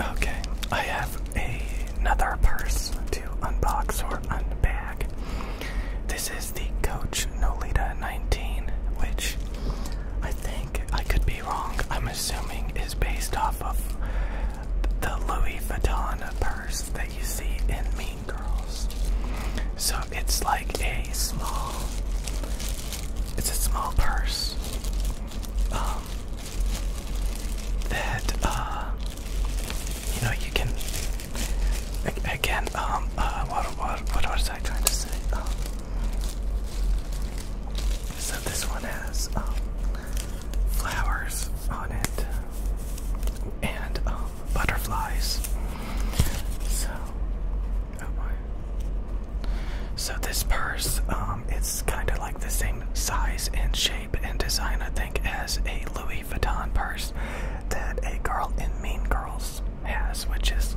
Okay, I have another purse to unbox or unbag. This is the Coach Nolita 19, which I think I could be wrong. I'm assuming is based off of the Louis Vuitton purse that you see in Mean Girls. So it's like a small, it's a small purse that uh, you know you can again um, uh, what what what was I trying to say? Um, so this one has um, flowers on it and butterflies. So Oh my. So this purse, um, it's kind of like the same size and shape and design, I think, as a Louis Vuitton purse that a girl in Mean Girls has, which is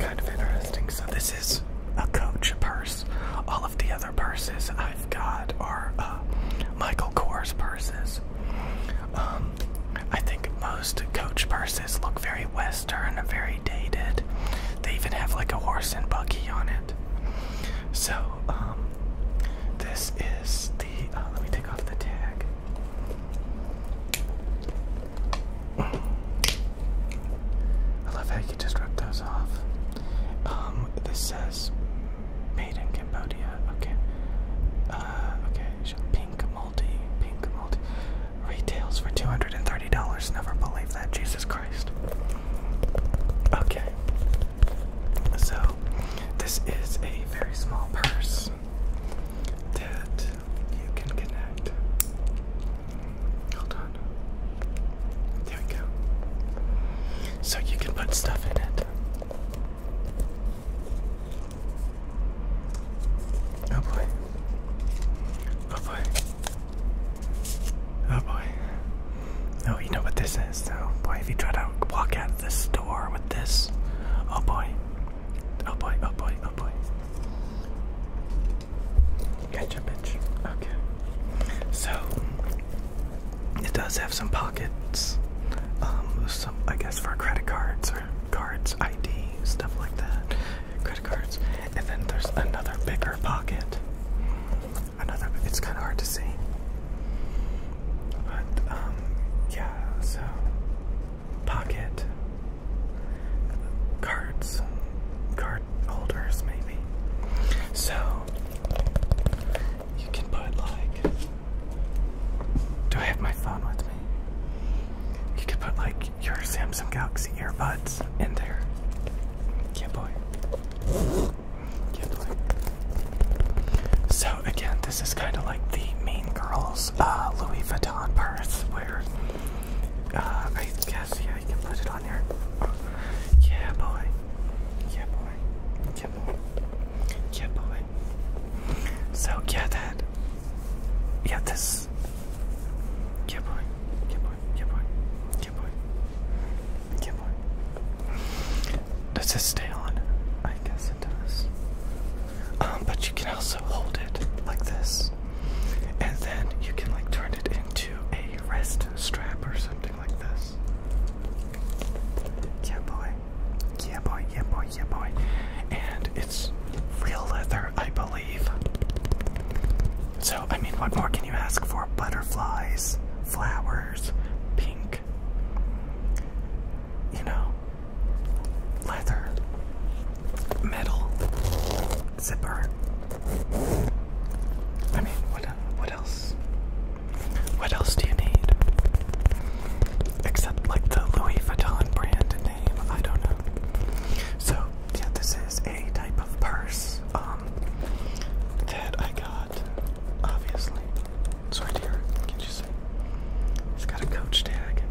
kind of interesting. So this is a Coach purse. All of the other purses I've got are uh, Michael Kors purses. Um, I think most Coach purses look very West sinister a very dated. They even have like a horse and buggy on it. So, um, this is the. Uh, let me take off the tag. I love how you just ripped those off. Um, this says made in Cambodia. Okay. Uh, okay. Pink multi, pink multi, retails for $230. Never believe that, Jesus Christ. Okay, so this is a very small purse that you can connect. Hold on. There we go. So you can put stuff in it. Oh boy. Oh boy. Oh boy. Oh, you know what this is. Oh boy, if you try to walk out of this store with this. Oh boy. Oh boy, oh boy, oh boy. Gotcha, bitch. Okay. So, it does have some pockets. Um, some, I guess, for credit cards or cards, ID, stuff like that, credit cards. And then there's another bigger pocket. Another, it's kind of hard to see. But, um, yeah, so pocket cards, card holders, maybe. So you can put like do I have my phone with me? You could put like your Samsung Galaxy earbuds in there. Yeah, boy. Yeah, boy. So again, this is kind of like the Mean Girls uh, Louis Vuitton purse, where uh, I guess yeah, you can put it on there. Yeah, boy. Yeah, boy. Yeah, boy. So, yeah, that. Yeah, this. Yeah, boy. Yeah, boy. Yeah, boy. Yeah, boy. Yeah, boy. Does this stay on? I guess it does. Um, but you can also hold it like this. And then you can like turn it into a rest strap or something like this. Yeah, boy. Yeah, boy, yeah, boy, yeah, boy. And it's real leather, I believe. So, I mean, what more can you ask for? Butterflies, flowers, pink, you know, leather, metal, zipper. I mean, what, what else? What else do you need? Except like the Louis Vuitton brand name, I don't know. So yeah, this is a type of purse um, that I got. Obviously, it's right can you see? It's got a coach tag.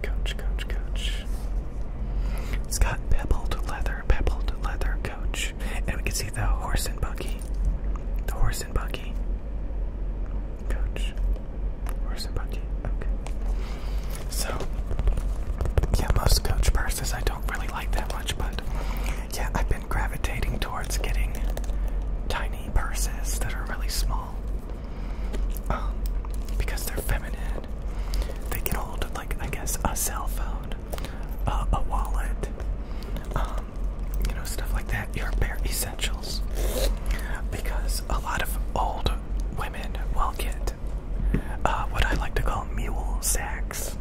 Coach, coach, coach. It's got pebbled leather, pebbled leather coach, and we can see the horse and buggy. The horse. Horse Coach. Horse and Okay. So, yeah, most coach purses I don't really like that much, but yeah, I've been gravitating towards getting tiny purses that are really small. Um, because they're feminine. They can hold, like, I guess, a cell phone a wallet, um, you know, stuff like that. Your bare essentials, because a lot of old women will get uh, what I like to call mule sacks,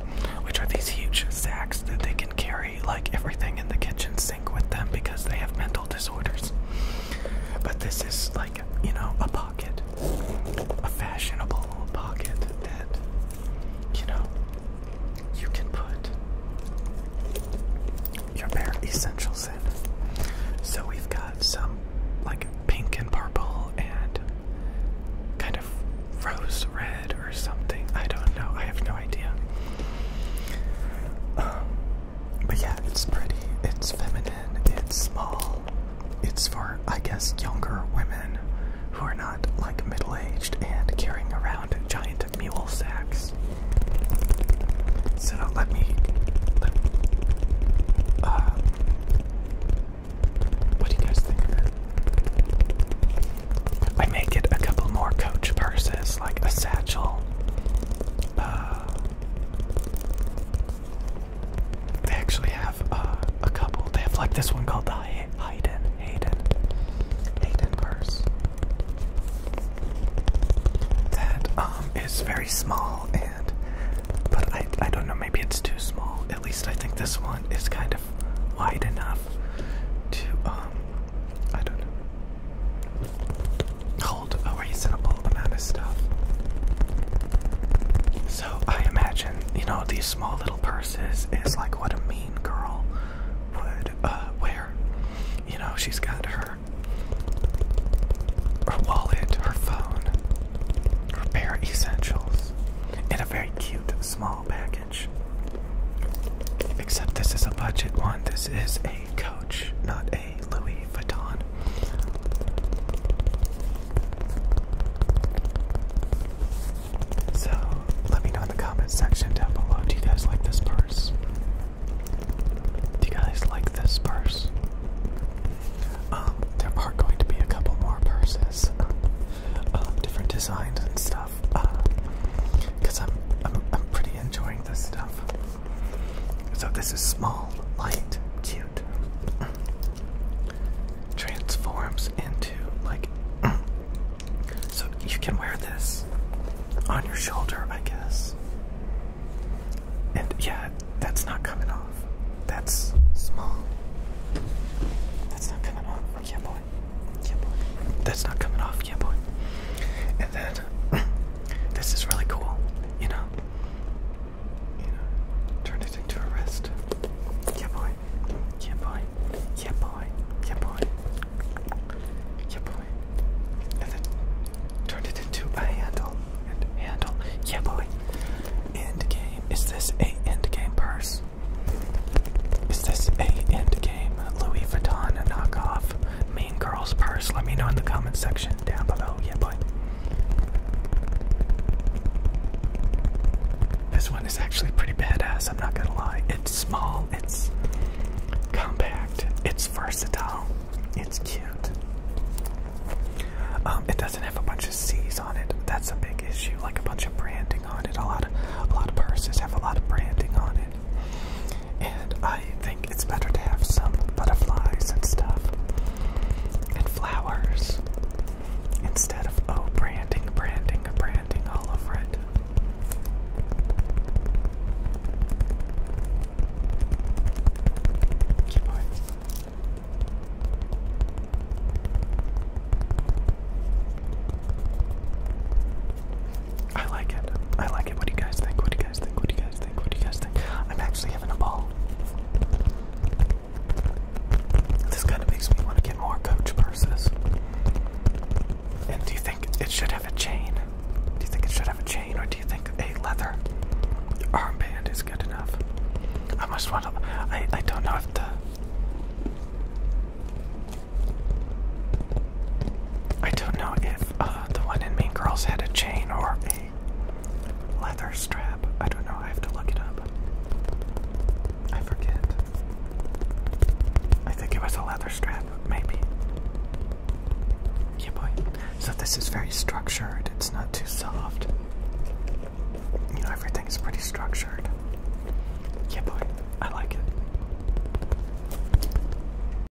which are these huge sacks that they can carry like everything in the kitchen sink with them because they have mental disorders. But this is like, you know, a pocket, a fashionable pocket that, you know, you can put your bare essentials in. So we've got some like pink and purple and kind of rose red or something. I don't know. I have no idea. Um, but yeah, it's pretty. It's feminine. It's small. It's for I guess, younger women who are not like middle aged and carrying around giant mule sacks. So let me. Uh, what do you guys think I may get a couple more coach purses, like a satchel. Uh, they actually have uh, a couple. They have like this one called the Hayden, Hayden, Hayden purse that um is very small and but I I don't know maybe it's too small. At least I think this one is kind of wide enough to um I don't know hold a reasonable amount of stuff. So I imagine, you know, these small little purses is like what a mean girl would uh, wear. You know, she's got her her wallet, her phone, her bare essentials in a very cute small package. Except this is a budget one. This is a Coach, not a Louis Vuitton. So, let me know in the comments section down below. Do you guys like this purse? Do you guys like this purse? Um, there are going to be a couple more purses, um, different designs and stuff. Uh, Cause I'm, I'm, I'm pretty enjoying this stuff. So this is small, light, cute transforms into like so you can wear this on your shoulder, I guess. And yeah, that's not coming off. That's small. That's not coming off. Yeah, boy. Yeah, boy. That's not coming off. Yeah, boy. And then this is really cool, you know you know, turned it into a wrist. Yeah, boy. Yeah, boy. Yeah, boy. Yeah, boy. Yeah, boy. And then turned it into a handle. And handle. Yeah, boy. End game. Is this a end game purse? Is this a end game Louis Vuitton knockoff Mean Girls purse? Let me know in the comment section down below. Yeah, boy. This one is actually pretty badass, I'm not gonna lie. It's small, it's compact, it's versatile, it's cute. Um, it doesn't have a bunch of C's on it. That's a big issue, like a bunch of branding on it. A lot of a lot of purses have a lot of branding on it. And I I think it's better to have some butterflies and stuff and flowers instead of oh branding, branding, branding all over it. Keep going. I like it. I like it. What do you guys think? What do you guys think? What do you guys think? What do you guys think? I'm actually seriously a ball. This kind of makes me want to get more Coach purses. And do you think it should have a chain? Do you think it should have a chain, or do you think a leather armband is good enough? I must want to. I, I don't know if the. I don't know if. Uh, the one in Mean Girls had a chain or a leather strap. I don't know. I have to look it up. I forget. I think it was a leather strap, maybe. Yeah, boy. So this is very structured. It's not too soft. You know, everything's pretty structured. Yeah, boy. I like it.